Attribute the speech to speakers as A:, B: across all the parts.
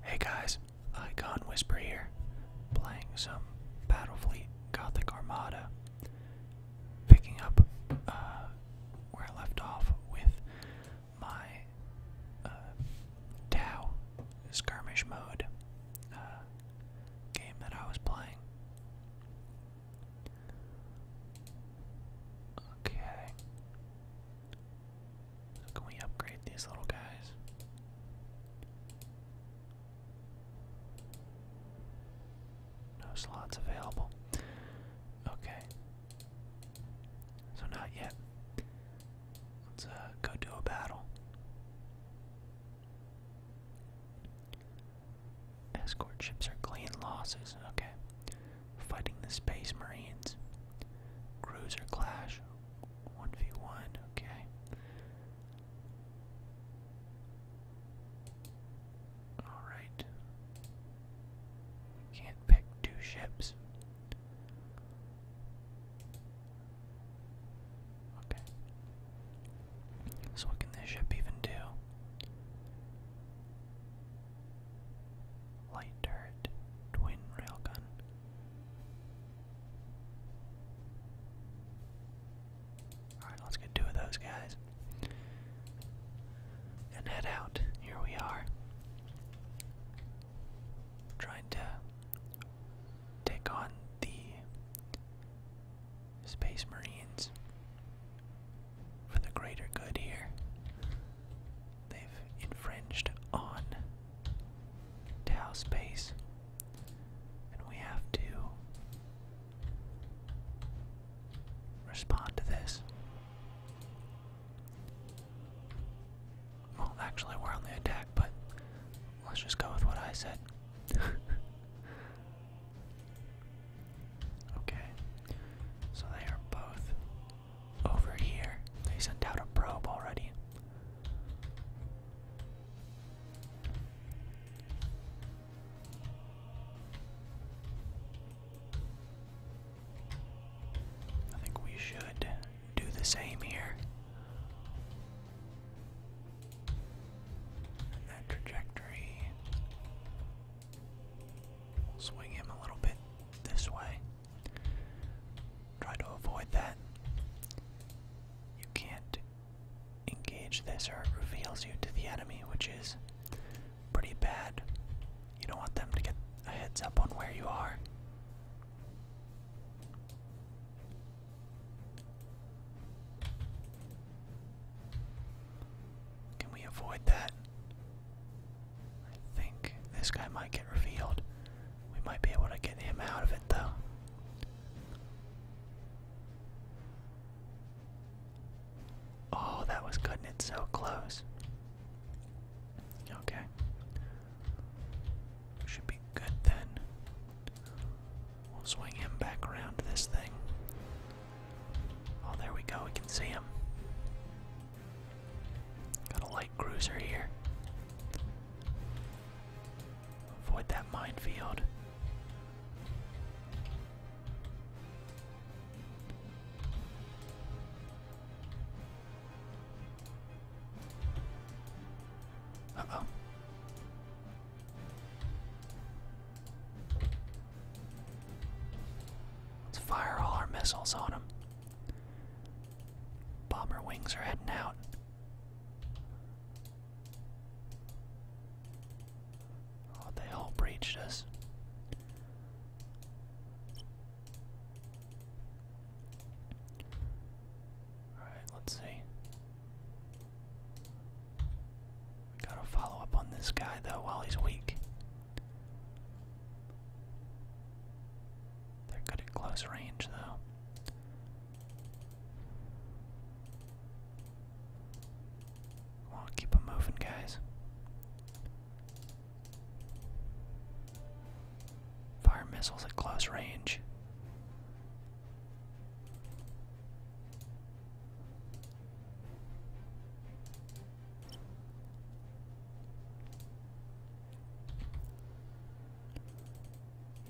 A: Hey guys, Icon Whisper here, playing some Battlefleet Gothic Armada. Picking up uh, where I left off with my uh, Skirmish Mode uh, game that I was playing. Okay can we upgrade these little guys? No slots available. Okay. So not yet. Let's uh, go do a battle. Escort ships are clean losses. Okay. Fighting the Space Marines. Cruiser clash. 1v1, okay. Alright. can't pick two ships. Okay. So what can this ship even do? Light turret, twin railgun. Alright, let's get two of those guys. And head out. Here we are. Trying to take on the Space Marines for the greater good here. They've infringed on Tau space, and we have to respond to this. Well, actually, we're on the attack, but let's just go with what I said. okay, so they are both over here. They sent out a probe already. I think we should do the same here. that trajectory will swing him a little bit this way. Try to avoid that. You can't engage this or it reveals you to the enemy, which is pretty bad. You don't want them to get a heads up on where you are. Can we avoid that? I think this guy might get revealed. We might be able to get him out of it though. Oh, that was good! it so close. Okay. Should be good then. We'll swing him back around this thing. Oh, there we go. We can see him. Got a light cruiser here. Avoid that minefield. oh. Let's fire all our missiles on him. Bomber wings are heading out. Oh, they all breached us. Alright, let's see. gotta follow up on this guy though while he's weak. They're good at close range though. Come keep them moving, guys. Fire missiles at close range.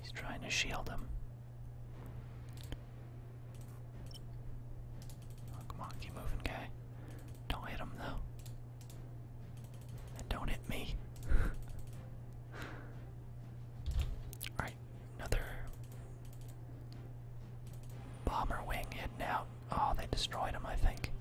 A: He's trying to shield him. Oh, come on, keep moving, guy. Don't hit him, though. And don't hit me. Alright, another bomber wing heading out. Oh, they destroyed him, I think.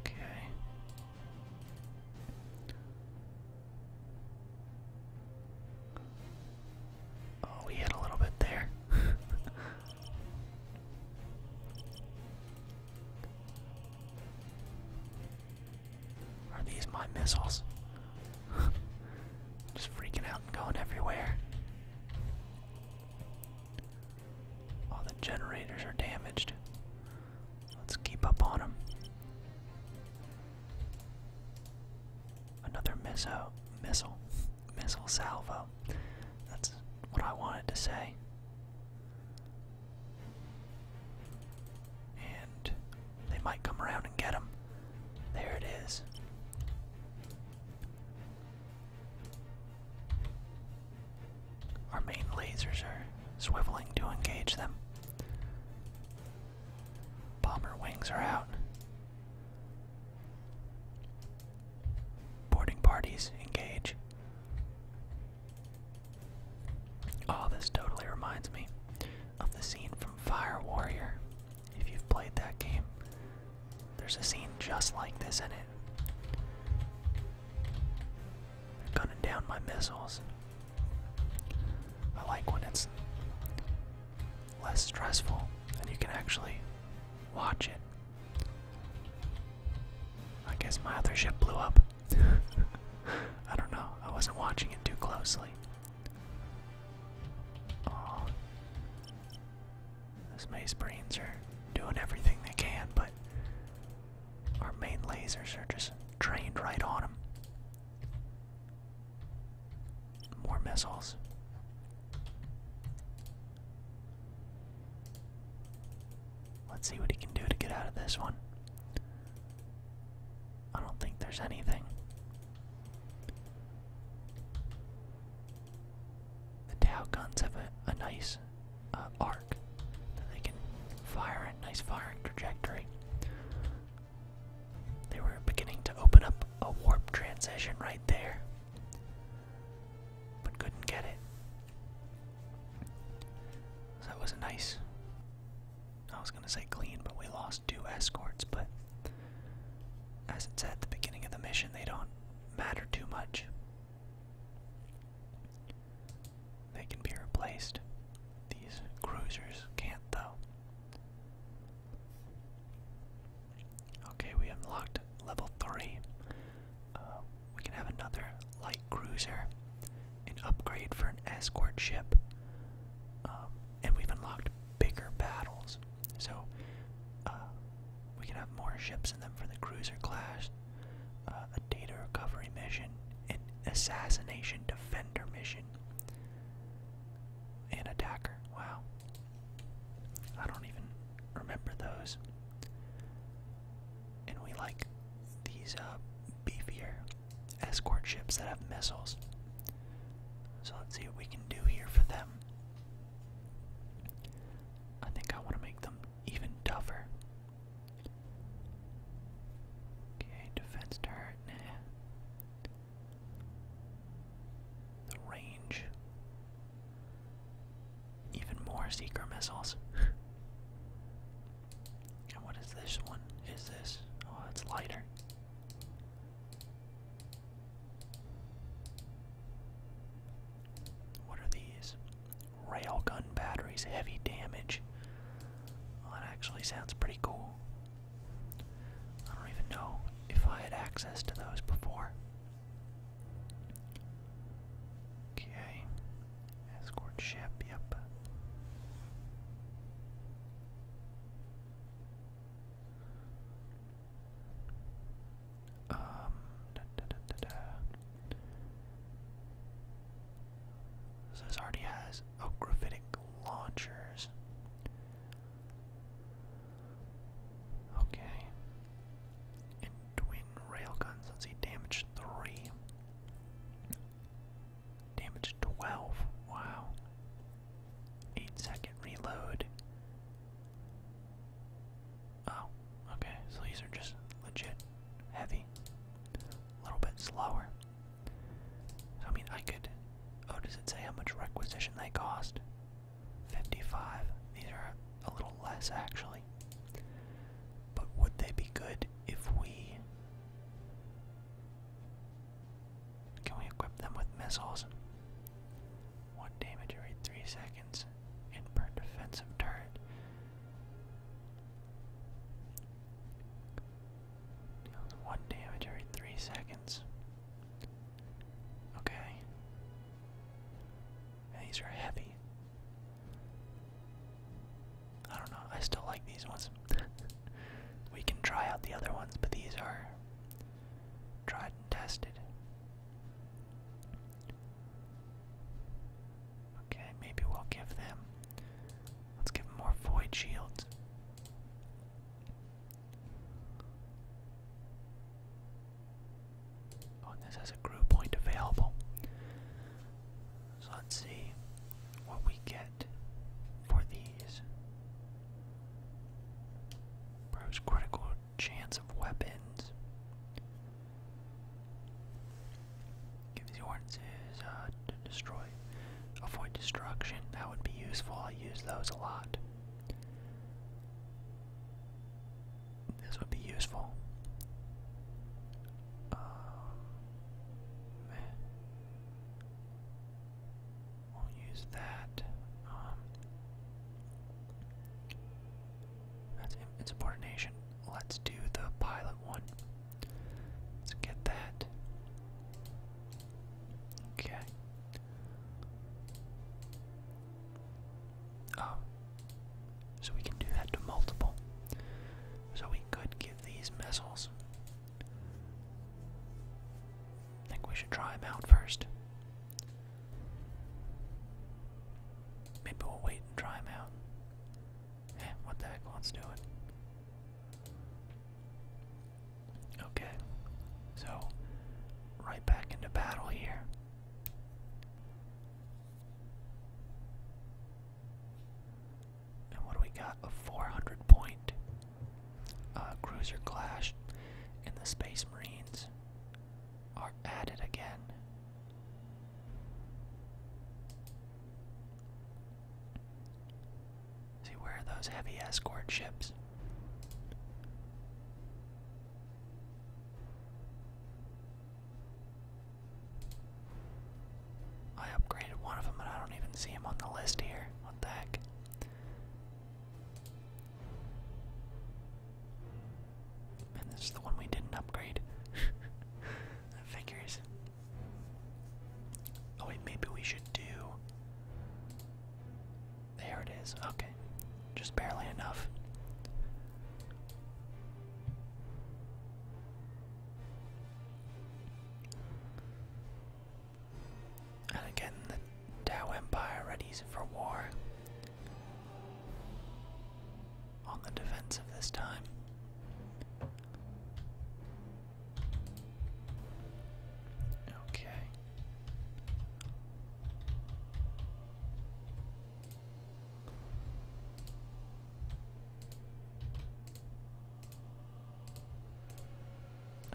A: Okay. Oh, we hit a little bit there. Are these my missiles? Just freaking out and going everywhere. All the generators are damaged. Let's keep up on them. Another missile, missile, missile salvo. That's what I wanted to say. And they might come around and get them. There it is. Our main lasers are swiveling to engage them. Bomber wings are out. Boarding parties engage. Oh, this totally reminds me of the scene from Fire Warrior if you've played that game, there's a scene just like this in it. They're gunning down my missiles. I like when it's less stressful and you can actually watch it. I guess my other ship blew up. I don't know. I wasn't watching it too closely. Oh, those maze brains are doing everything they can, but our main lasers are just trained right on them. More missiles. Let's see what he can do to get out of this one. I don't think there's anything. The Tau guns have a, nice uh, arc they can fire a nice firing trajectory. They were beginning to open up a warp transition right there, but couldn't get it. that was a nice I was gonna say clean, but we lost two escorts. But as it said at the beginning of the mission, they don't matter too much. They can be replaced. These cruisers can't, though. Okay, we unlocked level 3. Uh, we can have another light cruiser, an upgrade for an escort ship. Um, and we've unlocked bigger battles. So uh, we can have more ships in them for the cruiser class, uh, a data recovery mission, an assassination defender mission, an attacker. Wow. I don't even remember those. And we like these uh, beefier escort ships that have missiles. So let's see what we can do here for them. I think I want to make them even tougher. Okay, defense turret, nah. The range. Even more seeker missiles. and what is this one? Is this? Oh, it's lighter. What are these? Railgun batteries, heavy damage. that actually sounds pretty cool. I don't even know if I had access to those before. Okay. Escort ship, yep. Um, so this already has oh graphitic launchers. Okay. And twin railguns. Let's see, damage three. Damage twelve. Wow. Eight second reload. Oh, okay, so these are just legit heavy. A little bit slower. I mean, I could. Oh, does it say how much requisition they cost? 55. These are a little less, actually. But would they be good if we. Can we equip them with missiles? One damage every three seconds and per defensive turret. one damage every three seconds. Okay. these are heavy. I don't know, I still like these ones. we can try out the other ones, but these are tried and tested. Okay, maybe we'll give them. Let's give them more void shields. Oh, and this has a crew point available. So let's see what we get for these. Improves critical chance of weapons. Gives the ordinances uh, to destroy. Avoid destruction. That would be useful. I use those a lot. This would be useful. Um, we'll use that. Um, that's it's importation. Let's do the pilot one. Let's get that. Okay. Oh. So we can do that to multiple. So we could give these missiles I think we should try him out first. Maybe we'll wait and try him out. Eh, what the heck, let's Okay, so right back into battle here. And what do we got? A 400 point uh, Cruiser Clash and the Space Marines are added again. See, where are those heavy escort ships? I upgraded one of them, but I don't even see him on the list here. What the heck? And this is the one we didn't upgrade. figures. Oh wait, maybe we should do. There it is. Okay, just barely enough and again the Tao Empire readies for war. On the defensive this time. Okay.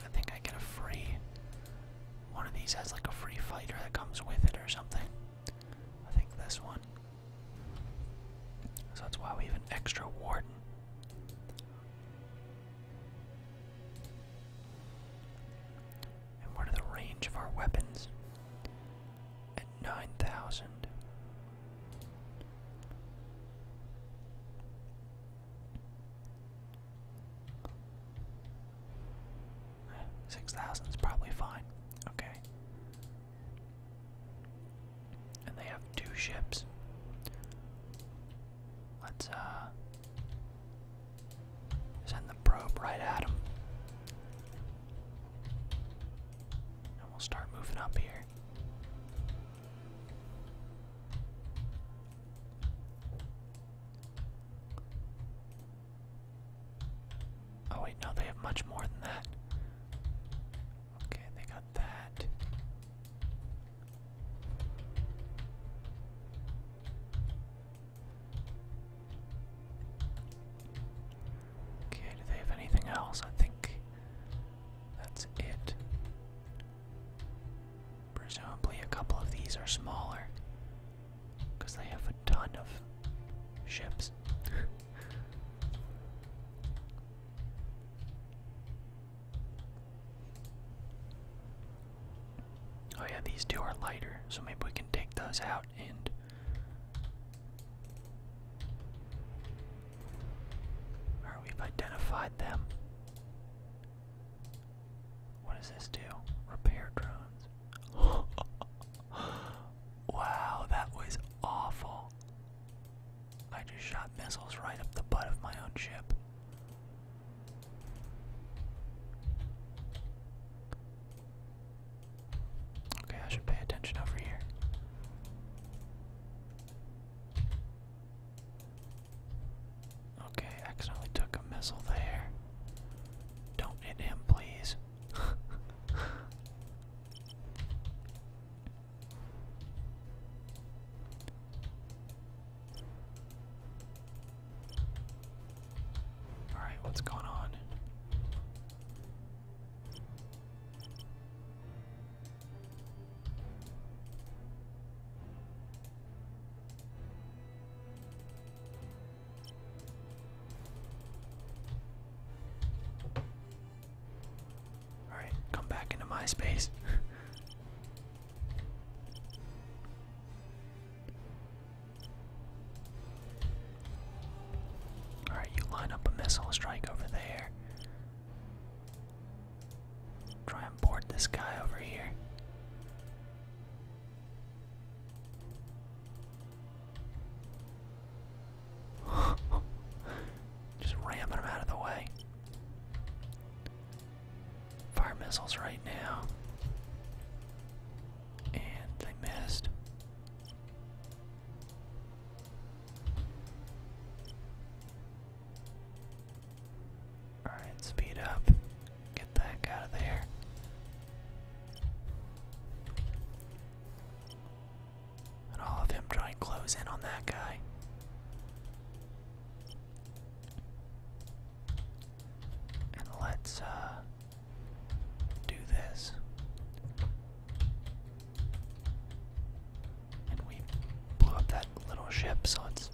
A: I think I get a free. One of these has like a free fighter that comes with it or something. I think this one. So that's why we have an extra warden. And what are the range of our weapons? At 9,000. Six thousand is probably fine. Okay. And they have two ships. Let's uh send the probe right at them. And we'll start moving up here. Oh wait, no, they have much more than that. Okay, they got that. Okay, do they have anything else? I think that's it. Presumably, a couple of these are smaller because they have a ton of ships. oh, yeah, these two are lighter, so maybe we can take those out and. Alright, we identified them. What does this do? Repair drones. wow, that was awful. I just shot missiles right up the butt of my own ship. Okay, I should pay attention over here. Okay, I accidentally took a missile there. Don't hit him, please. Alright, what's going on? Alright, come back into my space. Alright, you line up a missile strike over there. Try and board this guy over here. Just ramming them out of the way. Fire missiles right now. And they missed. Alright, speed up. Get that heck out of there. And all of him trying and close in on that guy. And let's uh do this. And we blew up that little ship, so let's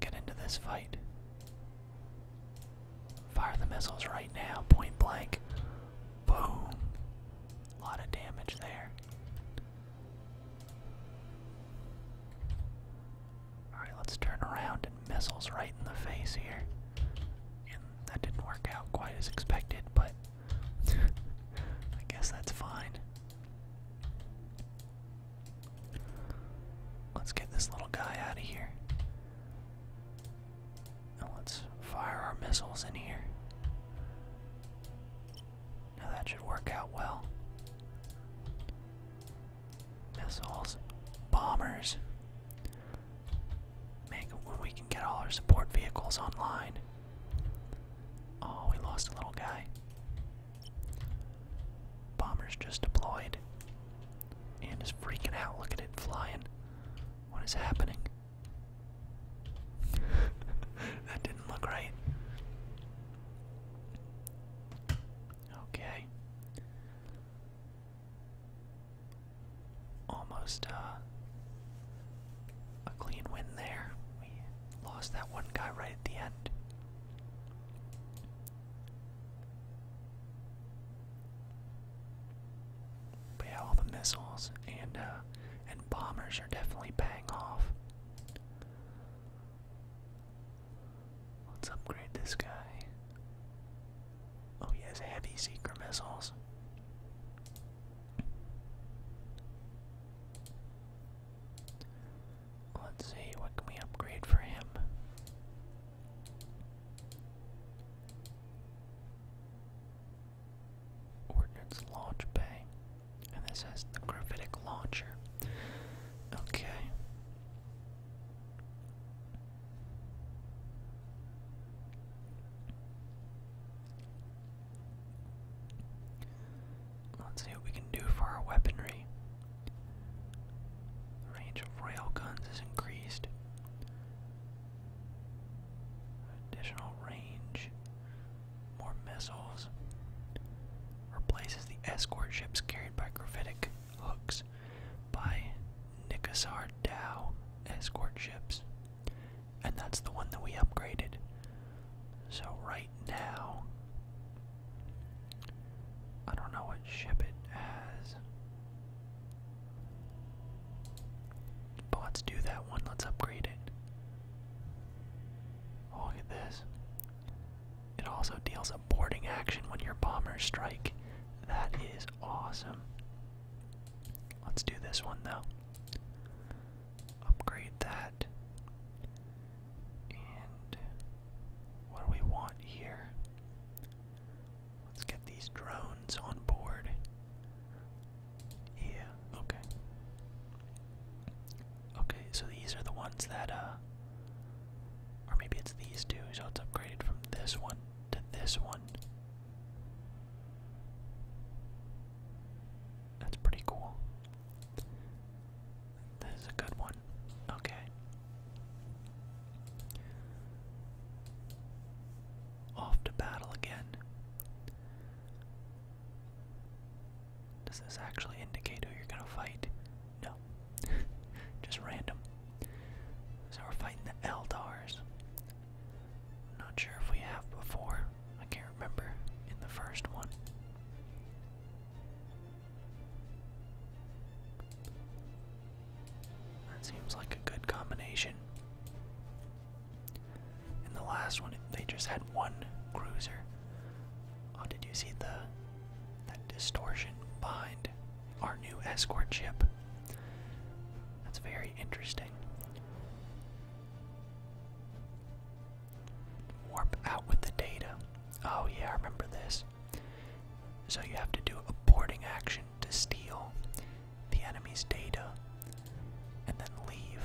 A: get into this fight. Fire the missiles right now, point blank. Boom. A lot of damage there. Alright, let's turn around and missiles right in the face here. that didn't work out quite as expected, but I guess that's fine. Let's get this little guy out of here. Now let's fire our missiles in here. Now that should work out well. Missiles, bombers. Make when we can get all our support vehicles online. Oh, we lost a little guy. Bombers just deployed. And is freaking out. Look at it flying. What is happening? that didn't look right. Okay. Almost uh, a clean win there. We lost that one guy right at the end. But all the missiles and uh, and bombers are definitely bang off. Let's upgrade this guy. Oh, he has heavy seeker missiles. Let's see, what can we upgrade for him? Ordnance launch bay. And this has the gravitic launcher. Okay. Let's see what we can do for our weaponry range of rail is increased. Additional range. More missiles. Replaces the escort ships carried by gravitic hooks by Nikosar escort ships. And that's the one that we upgraded. So, right now, I don't know what ship it has. let's do that one. Let's upgrade it. Oh, look at this. It also deals a boarding action when your bombers strike. That is awesome. Let's do this one though. Upgrade that. And what do we want here? Let's get these drones on board. Yeah, okay. Okay, so these are the ones that, uh. Or maybe it's these two, so it's upgraded from this one to this one. That's pretty cool. This is a good one. Okay. Off to battle again. Does this actually indicate who you're gonna fight? No. Just random. So we're fighting the Eldars. not sure if we have before. I can't remember in the first one. That seems like a good combination. In the last one, they just had one cruiser. Oh, did you see the that distortion behind our new escort ship? That's very interesting. Warp out with the data. Oh yeah, I remember this. So you have to do a boarding action to steal the enemy's data and then leave.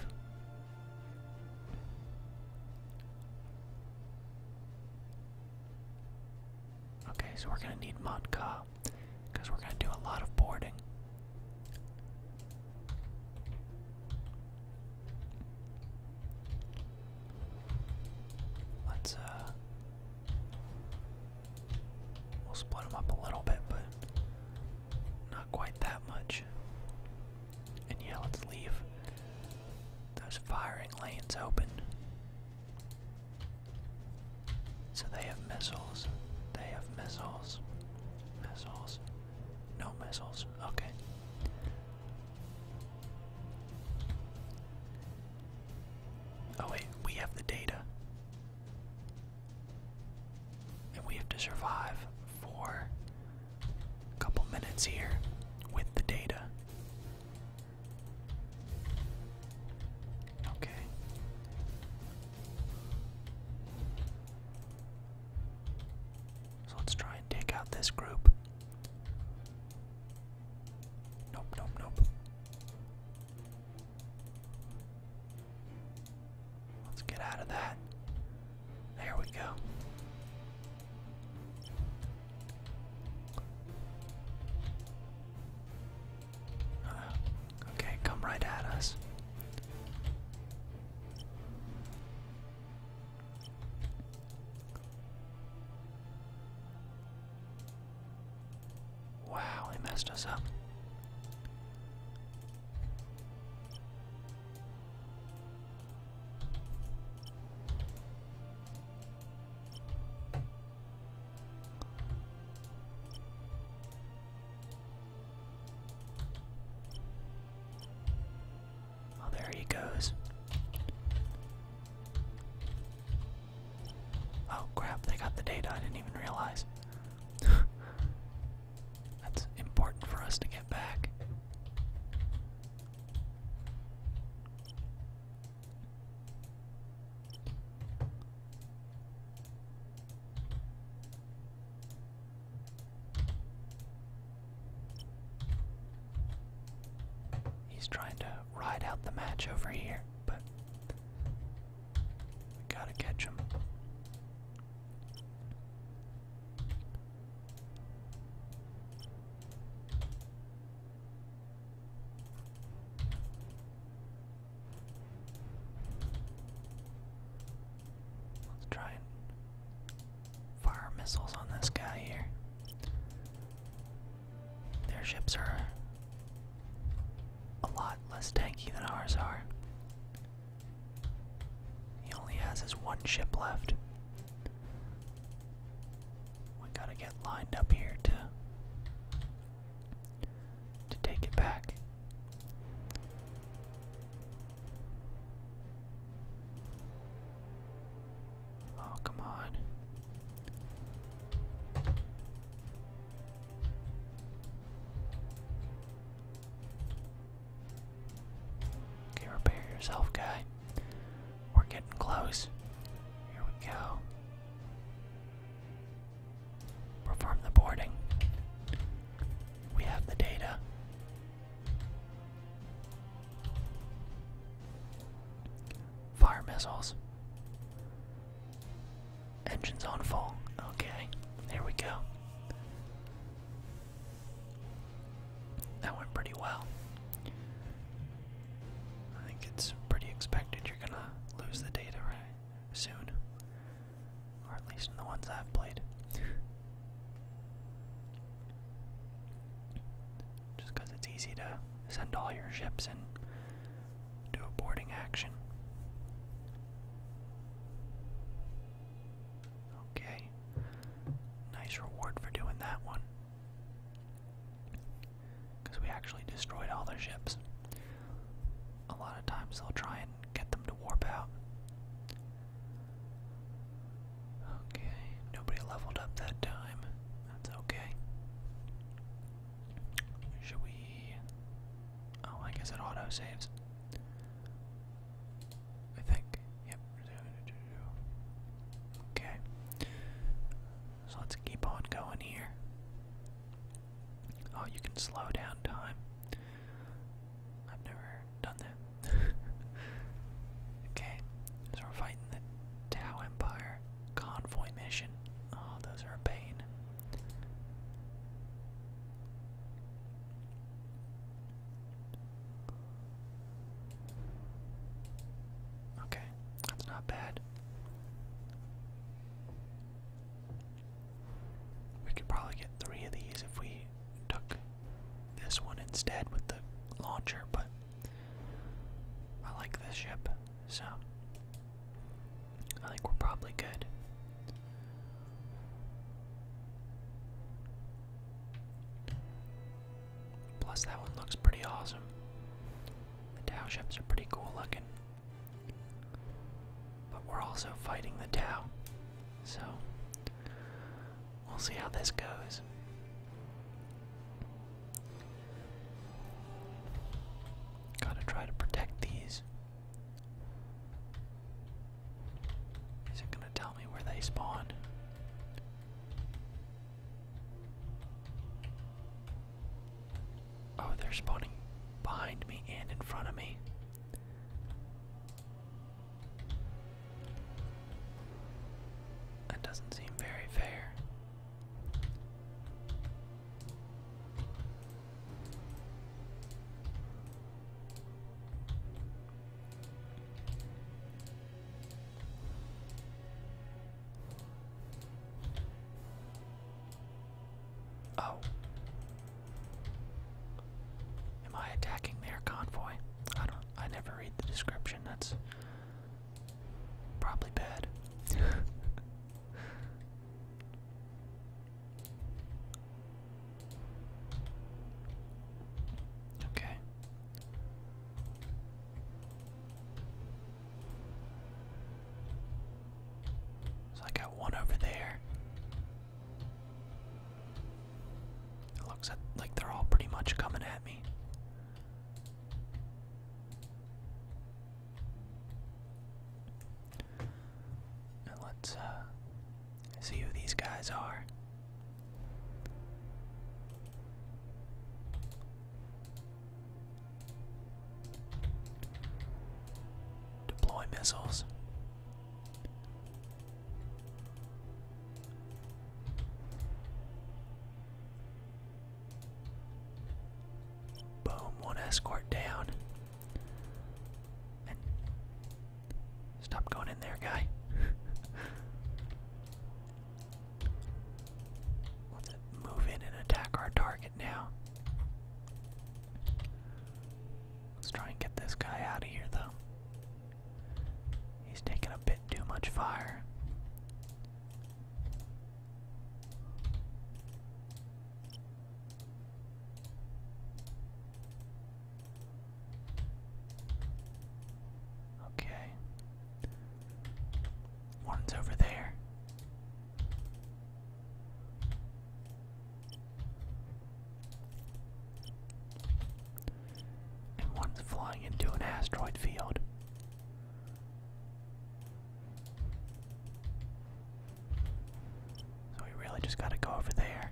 A: Okay, so we're gonna need Motka because we're gonna do a lot of boarding. Let's uh We'll split them up a little bit, but not quite that much. And yeah, let's leave those firing lanes open. So they have missiles. They have missiles. Missiles. No missiles. Okay. Oh wait, we have the data. And we have to survive for a couple minutes here with the data. Okay. So let's try and take out this group. Nope, nope, nope. Let's get out of that. There we go. Uh, okay, come right at us. Wow, he messed us up. Oh, there he goes. Oh crap, they got the data, I didn't even realize. That's important for us to get back. He's trying to ride out the match over here, but we gotta catch him. Let's try and fire missiles on this guy here. Their ships are a lot less tanky than ours are. He only has his one ship left. We gotta get lined up here to to take it back. Oh, come on. Okay, repair yourself, guy. We're getting close. Here we go. Perform the boarding. We have the data. Fire missiles. Engines on full. Okay, there we go. That went pretty well. I think it's pretty expected you're gonna lose the data soon. Or at least in the ones I've played. Just because it's easy to send all your ships and do a boarding action. Okay. Nice reward for doing that one. Because we actually destroyed all their ships. A lot of times they'll try and get them to warp out. Okay, nobody leveled up that time. That's okay. Should we? Oh, I guess it auto saves. I think. Yep. Okay. So let's keep on going here. Oh, you can slow down time. I've never done that. okay, so we're fighting the Tao Empire. Convoy mission. Oh, those are a pain. Okay, that's not bad. We could probably get three of these if we took this one instead with the launcher, but I like this ship. So, I think we're probably good. Plus, that one looks pretty awesome. The Tao ships are pretty cool looking. But we're also fighting the Tao, So, we'll see how this goes. Gotta try to protect these. Is it gonna tell me where they spawn? Oh, they're spawning behind me and in front of me. That doesn't seem very fair. Oh. Am I attacking their convoy? I don't I never read the description. That's probably bad. Okay. So I got one over there. It looks at, like they're all pretty much coming at me let's uh, see who these guys are. Deploy missiles. Boom, one escort down. stop going in there, guy. Let's move in and attack our target now. Let's try and get this guy out of here, though. He's taking a bit too much fire. Okay. One's over there. And one's flying into an asteroid field. So we really just gotta go over there.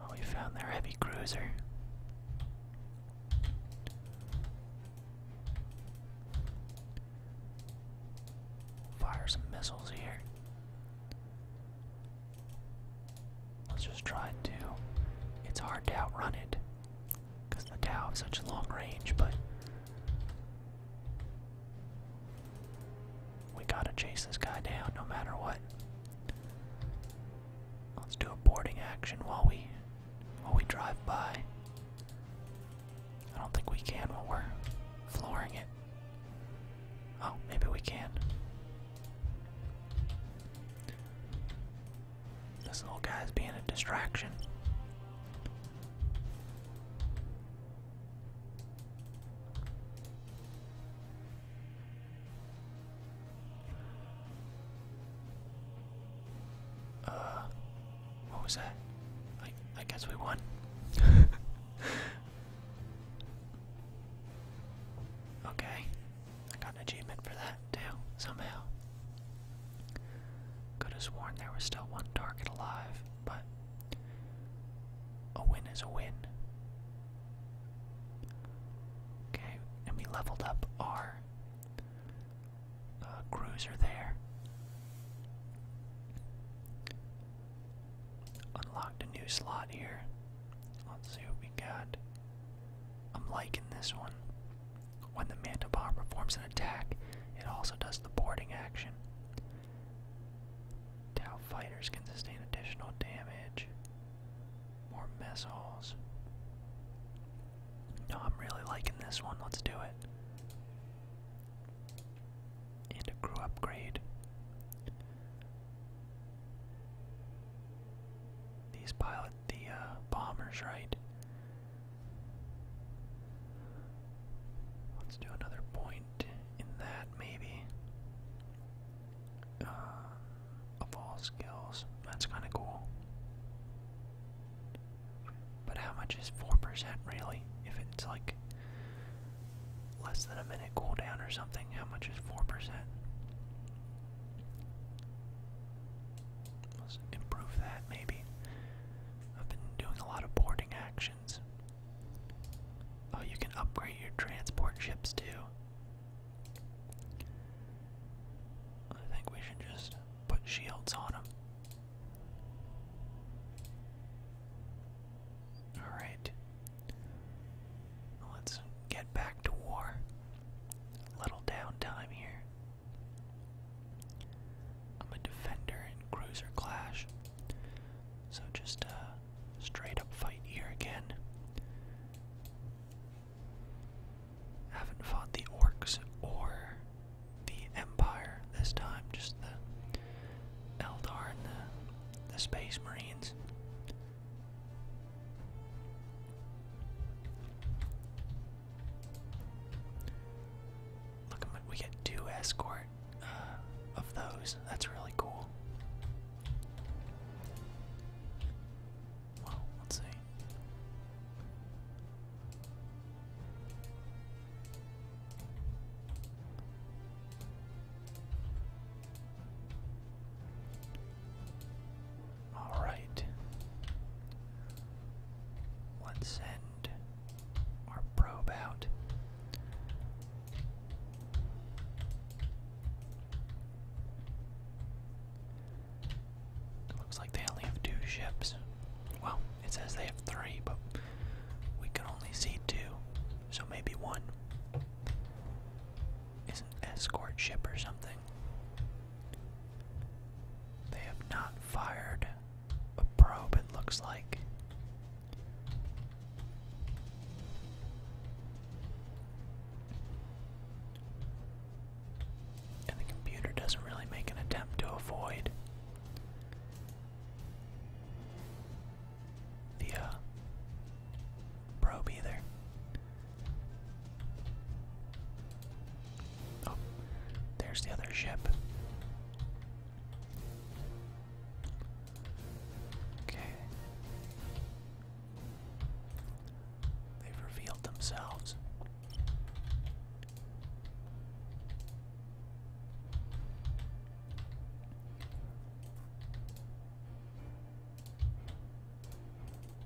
A: Oh, we found their heavy cruiser. Fire some missiles here. Let's just try to. It's hard to outrun it because the Tao have such long range, but we gotta chase this guy down no matter what. Let's do a boarding action while we while we drive by. I don't think we can while we're flooring it. Oh, maybe we can. This little guy's being a distraction. Uh, what was that? I guess we won. Okay, I got an achievement for that too, somehow. Could have sworn there was still one target alive, but a win is a win. Okay, and we leveled up our uh, cruiser there. Unlocked a new slot here. Let's see what we got. I'm liking this one. When the Mantibar performs an attack, it also does the boarding action. Tau fighters can sustain additional damage. More mess holes. No, I'm really liking this one. Let's do it. And upgrade. These pilot the uh, bombers, right? Let's do another point in that, maybe. Uh, of all skills, that's kind of cool. But how much is 4% really? If it's like less than a minute cooldown or something. How much is 4%? percent improve that maybe. I've been doing a lot of boarding actions. Oh, you can upgrade your transport ships too. I think we should just put shields on them. Alright, Let's get back to war. Little downtime here. I'm a defender in cruiser clash. So just a uh, straight up fight here again. Haven't fought the orcs or the Empire this time, just the Eldar and the Space Marines. Look, we get two escort uh, of those. That's really cool. Well, let's see. All right. Let's send our probe out. looks like they only have two ships. Well, it says they have three, but we can only see two, so maybe one is an escort ship or something. They have not fired a probe, it looks like. And the computer doesn't really make an attempt to avoid the uh, probe either. Oh, there's the other ship. Okay. They've revealed themselves.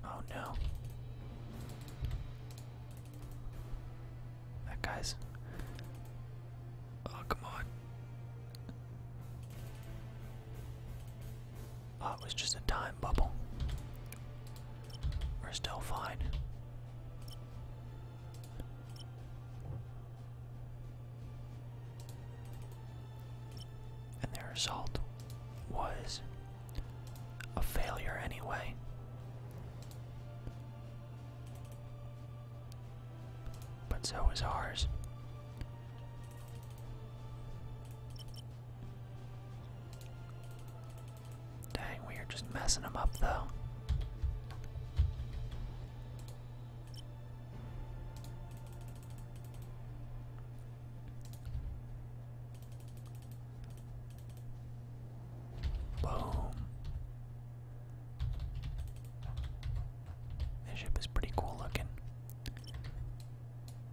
A: Oh no. That guy's. Oh, come on. Oh, it was just a time bubble. We're still fine. And the result was a failure anyway. But so was ours. Dang, we are just messing them up though. Boom. This ship is pretty cool looking.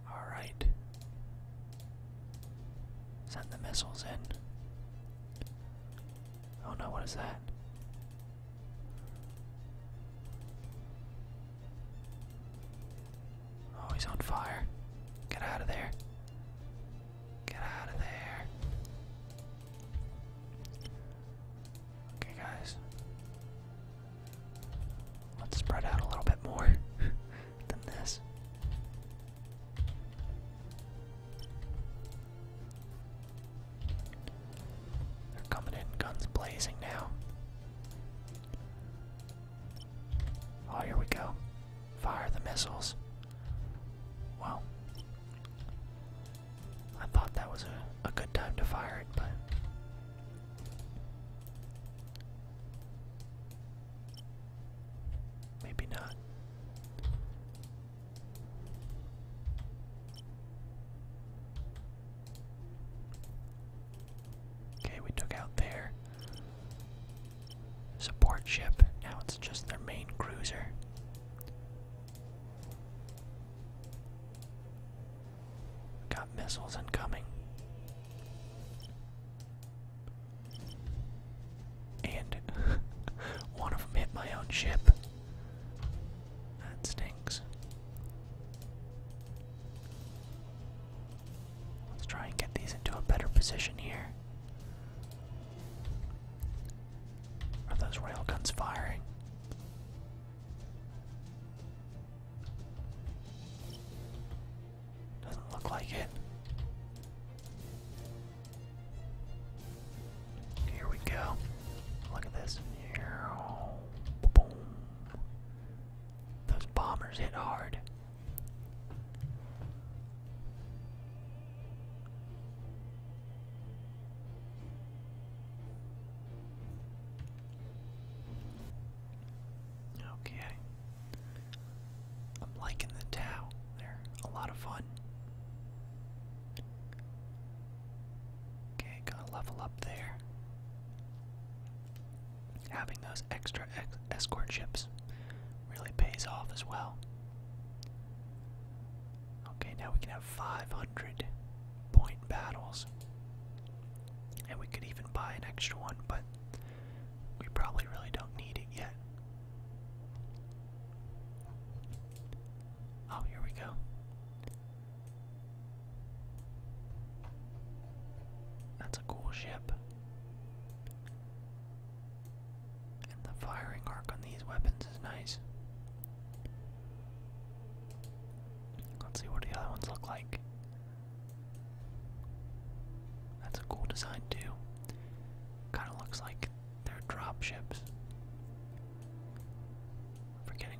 A: Alright. Send the missiles in. Oh no, what is that? Oh, he's on fire. Get out of there. Get out of there. Okay, guys. Let's spread out a little bit more than this. They're coming in guns blazing now. Oh, here we go. Fire the missiles. Wow. I thought that was a, a good time to fire it, but. Maybe not. Okay, we took out their support ship. Now it's just their main cruiser. Got missiles incoming. And one of them hit my own ship. That stinks. Let's try and get these into a better position here. Are those railguns firing? Doesn't look like it. Here we go. Look at this. Boom. Those bombers hit hard. Okay. I'm liking the Tau. They're a lot of fun. Okay, gotta level up there having those extra escort ships really pays off as well. Okay, now we can have 500 point battles. And we could even buy an extra one, but we probably really don't need it yet. Oh, here we go. That's a cool ship. the firing arc on these weapons is nice. Let's see what the other ones look like. That's a cool design too. Kinda looks like they're drop forgetting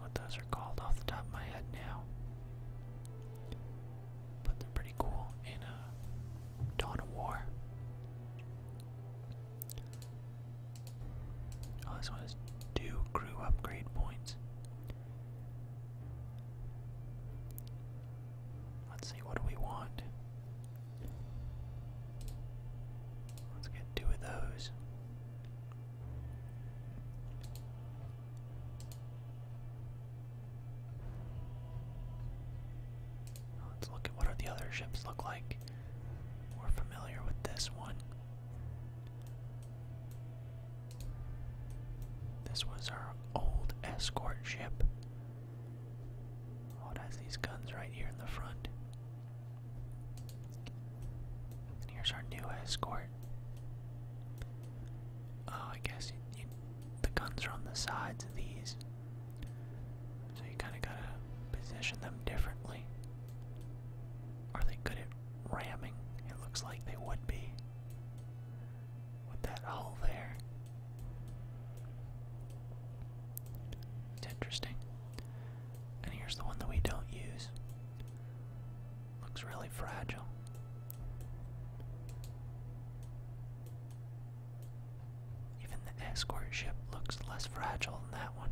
A: what those are called off the top of my head now but they're pretty cool in uh, Dawn of War. Oh, this one is two crew upgrade points. Let's see, what do we want? Let's get two of those. Let's look at what are the other ships look like. We're familiar with this one. This was our old escort ship. Oh, it has these guns right here in the front. And here's our new escort. Oh, I guess the guns are on the sides of these. So you kind of gotta position them differently. Are they good at ramming? It looks like they would be. With that hole there. It's interesting. And here's the one that we don't use. Looks really fragile. Even the escort ship looks less fragile than that one.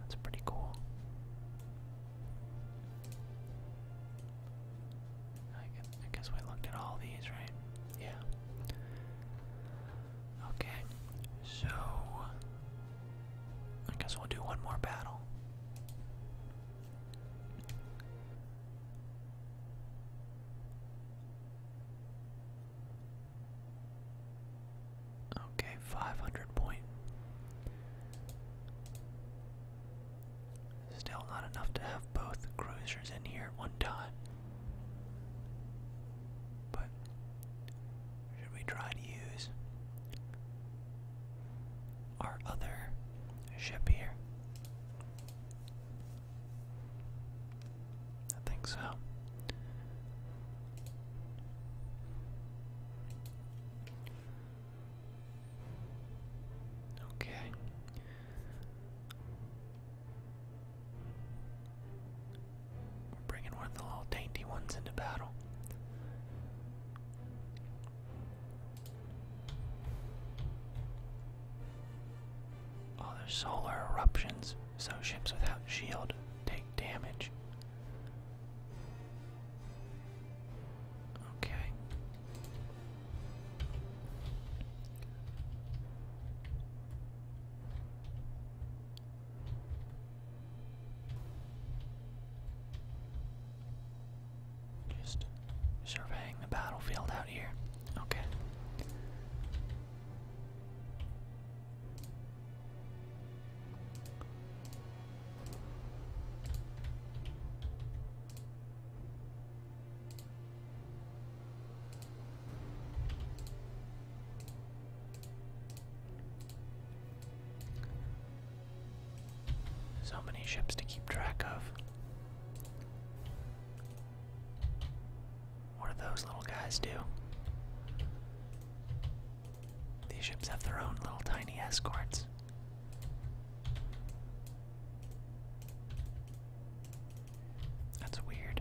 A: That's pretty cool. I guess, we looked at all these, right? Yeah. Okay, so I guess we'll do one more battle. Okay, five hundred point. Still not enough to have both cruisers in here at one time. But should we try to use our other it here. I think so. Okay. We're bringing one of the little dainty ones into battle. Oh, there's solar eruptions, so ships without shield take damage. Okay. Just surveying the battlefield out here. Okay. So many ships to keep track of. What do those little guys do? These ships have their own little tiny escorts. That's weird.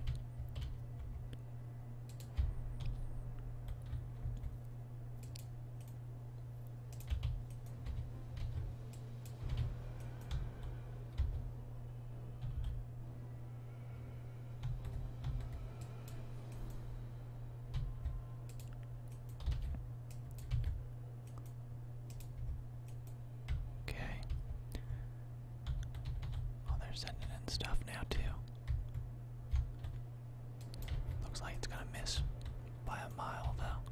A: Okay. Oh, they're sending in stuff now, too. Looks like it's gonna miss by a mile, though.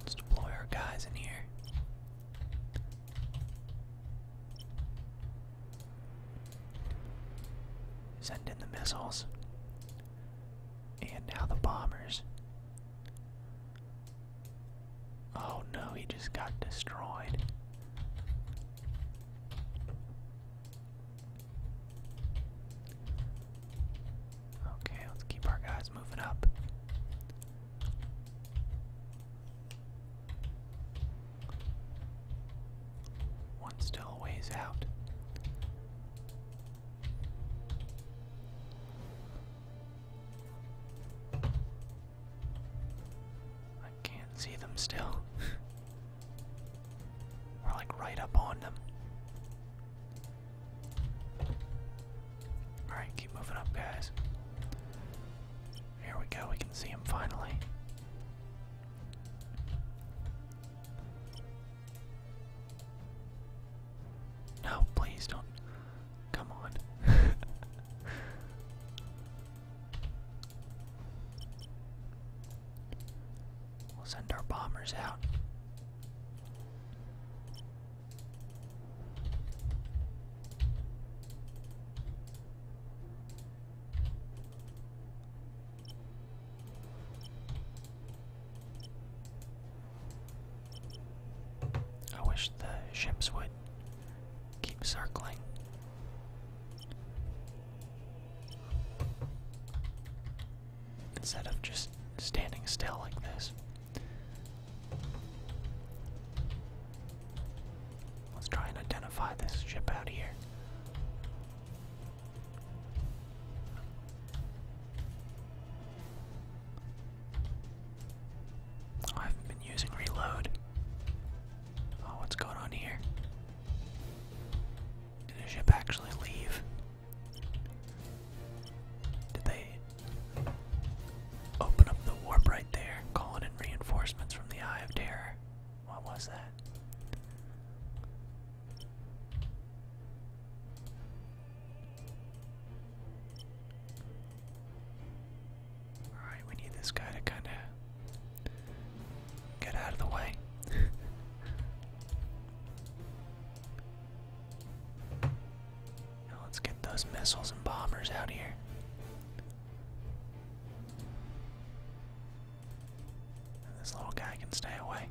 A: Let's deploy our guys in here. Send in the missiles. And now the bombers. Oh no, he just got destroyed. Okay, let's keep our guys moving up. One still ways out. I can't see them still. We're like right up on them. Alright, keep moving up, guys. Here we go, we can see him finally. No, please don't. Come on. we'll send our bombers out. I wish the ships would keep circling. Instead of just standing still like this. Let's try and identify this ship out here. I have been using reload. Oh, what's going on here? Did the ship actually leave? Did they Open up the warp right there. Calling in reinforcements from the Eye of Terror. What was that? Alright, we need this guy to kinda get out of the way. let's get those missiles and bombers out here. this little guy can stay away.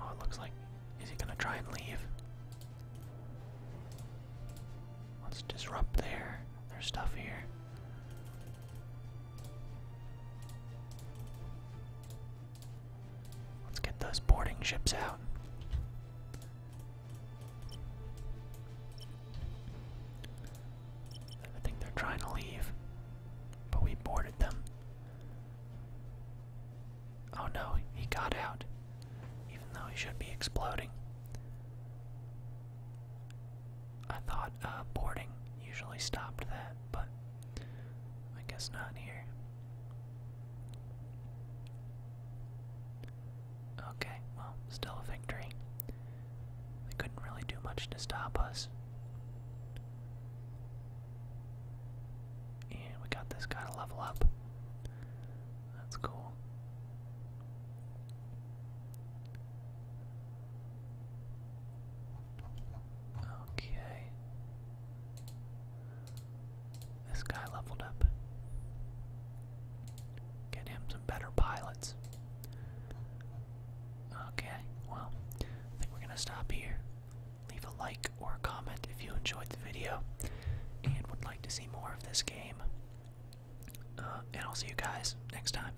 A: Oh, it looks like. Is he gonna try and leave? Let's disrupt their, their stuff here. Let's get those boarding ships out. I think they're trying to leave, but we boarded them. Oh no, he got out, even though he should be exploding. I thought uh, boarding usually stopped that, but I guess not here. Okay, well, still a victory. They couldn't really do much to stop us. And we got this guy to level up. That's cool. Okay. This guy leveled up. Get him some better pilots. Okay, well, I think we're gonna stop here. Leave a like or comment if you enjoyed the video and would like to see more of this game. Uh, and I'll see you guys next time.